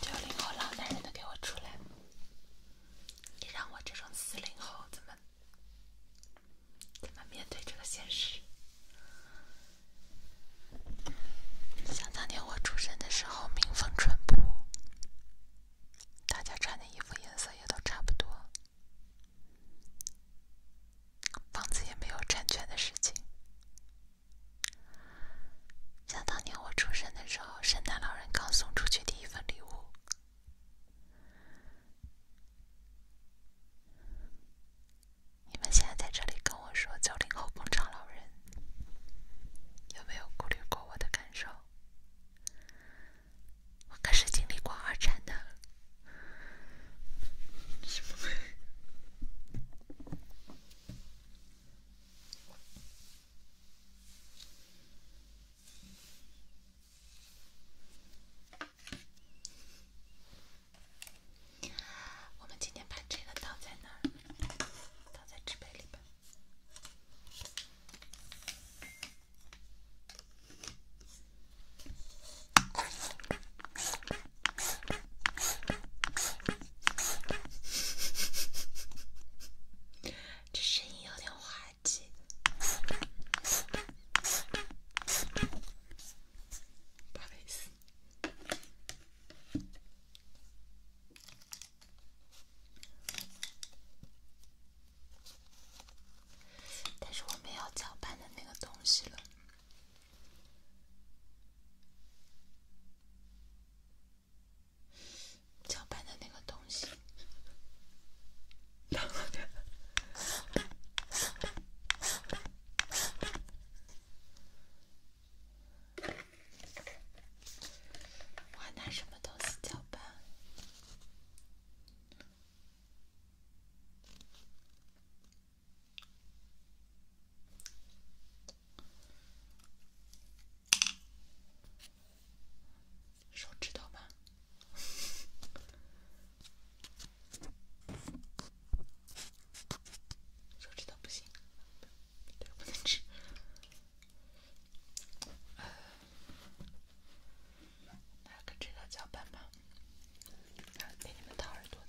九零后老男人都给我出来！你让我这种四零后怎么怎么面对这个现实？想当年我出生的时候，民风淳朴，大家穿的衣服颜色也都差不多，房子也没有产权的事情。想当年我出生的时候，圣诞老人刚送出去第一份礼物。你们现在在这里跟我说九零后工厂老人，有没有顾虑过我的感受？我可是经历过二战的。我们今天把这个倒在那倒在纸杯里吧。这声音有点坏。但是我没有搅拌的那个东西了。搅拌的那个东西，两个点。我还拿什么东西搅拌？手指头吧，手指刀不行，不能吃。来个指甲夹板吧，给你们掏耳朵的。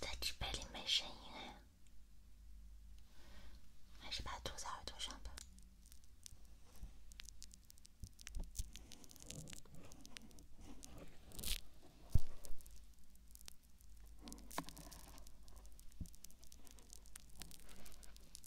在纸杯里没声音哎，还是把它堵在耳朵上吧。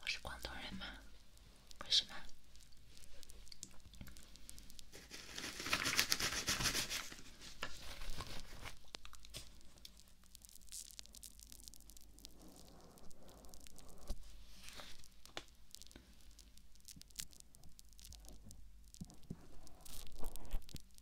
我是广东人吗？为什么？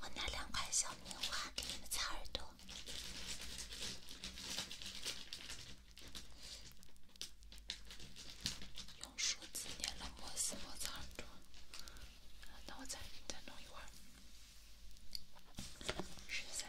我拿两块小棉花给你们擦耳朵，用梳子捏了摩丝摩擦耳那我再给你一会儿，十三。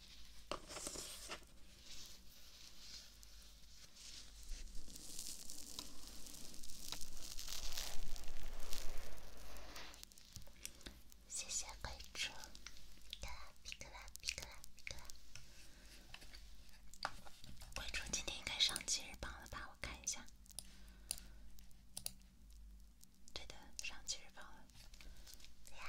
谢谢桂竹，皮卡今天应该上节日榜了吧？我看一下，对的，上节日榜了。我想退出呀！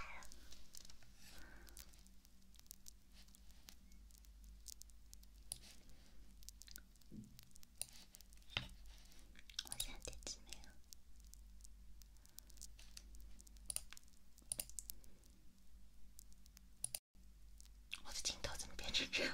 我的镜头怎么变成这样？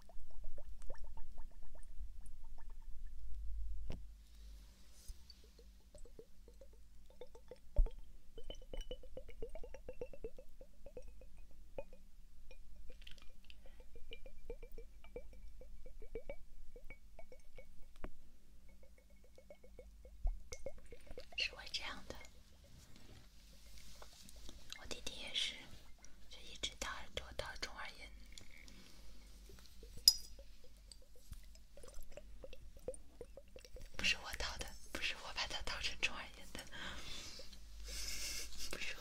是会这样的，我弟弟也是。就一直到耳朵到中耳炎，不是我淘的，不是我把它淘成中耳炎的，不是我。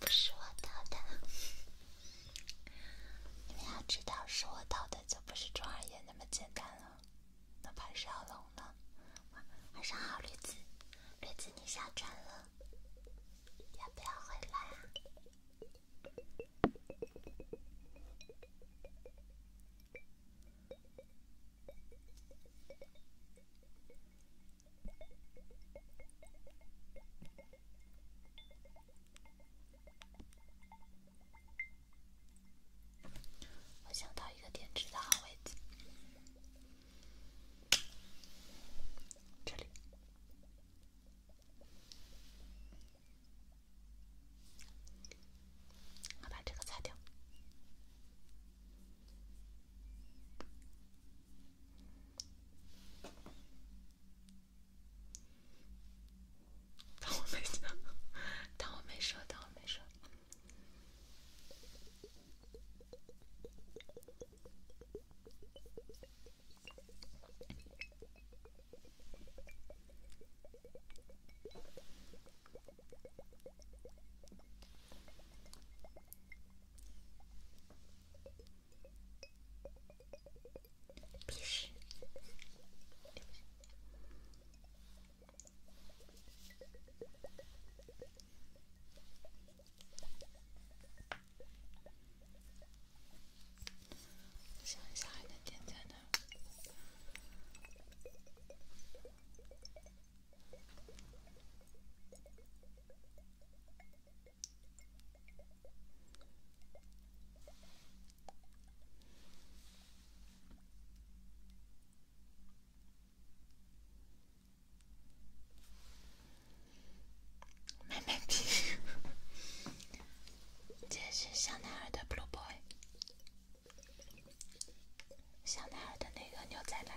不是我倒的，你们要知道是我倒的，就不是庄二爷那么简单了，那怕是要龙了。晚上好，绿子，绿子你下船了，要不要回来？我想到一个点痣的好位置，这里。我把这个擦掉。当我没说，当我没说，当我没说。必须！想一下还能点赞呢。妹妹，这是小男孩的 Blue Boy，小男孩的那个牛仔蓝。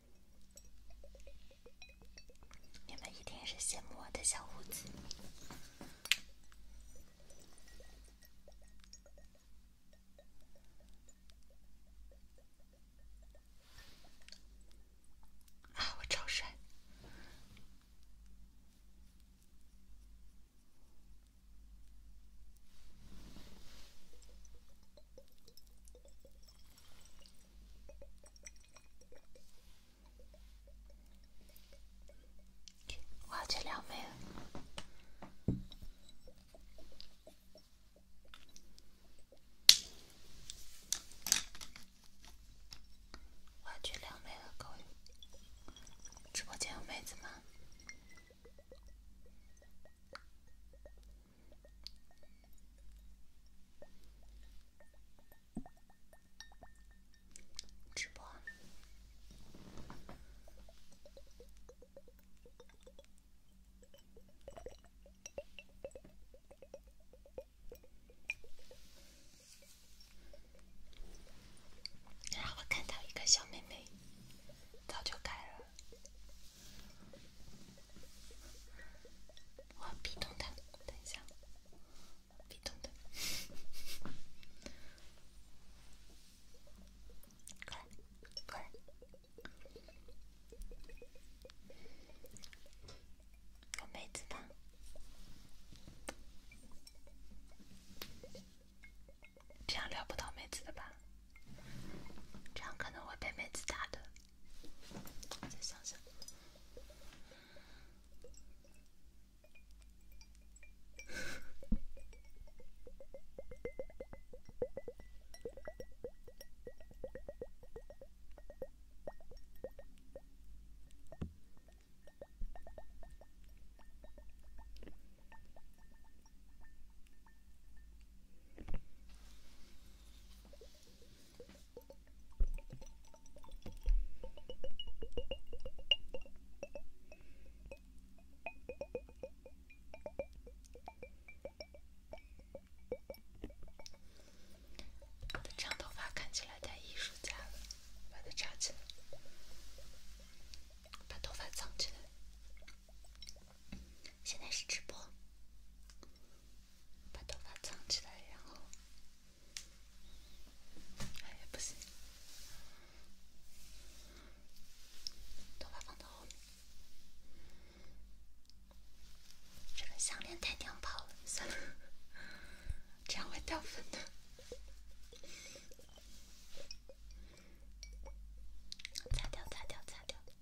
你们一定是羡慕我的小胡子，我超帅。我要去撩妹了！我要去撩妹了，各位，直播间有妹子吗？直播，然后看到一个小妹妹，早就改了。我别动等一下，别动的，快快，妹子呢，这样撩不到妹子的吧？这样可能会被妹子打的。再想想。长头发看起来太艺术家了，把它扎起来，把头发藏起来。现在是直播。把头发藏起来，然后哎呀不行，头发放到后面。这个项链太娘炮了，算了，这样会掉粉的。擦掉，擦掉，擦掉。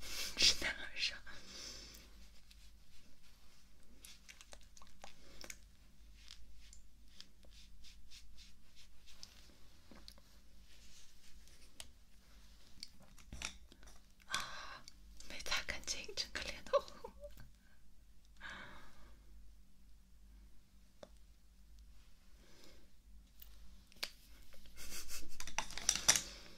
是男生，没擦干净整个脸都。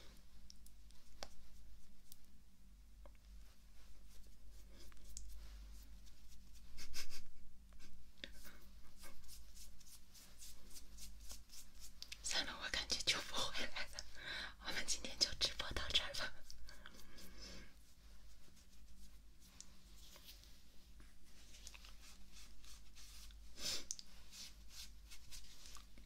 算了，我感觉就不回来了。我们今天就直播到这儿了。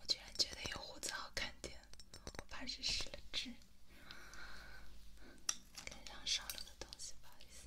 我居然觉得有胡子好看点，我怕是失了智，脸上少了个东西吧？意思。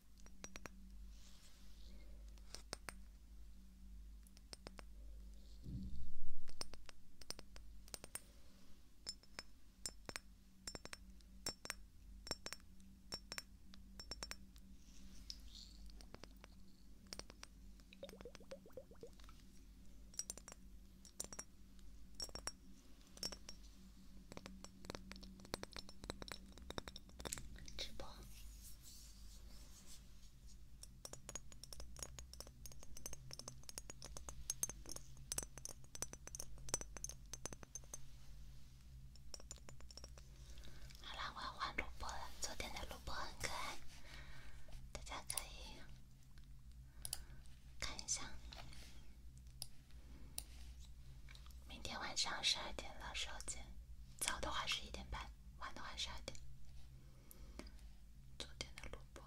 直播。好啦，我要换录播了。昨天的录播很可爱，大家可以看一下。明天晚上十二点的时候见。早的话十一点半，晚的话十二点。昨天的录播，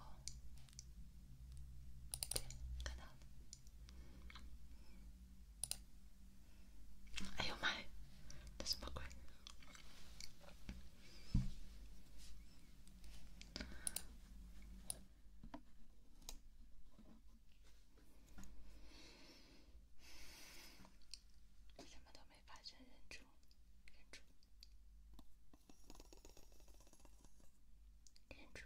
什么都没发生，忍住，忍住，忍住，忍住。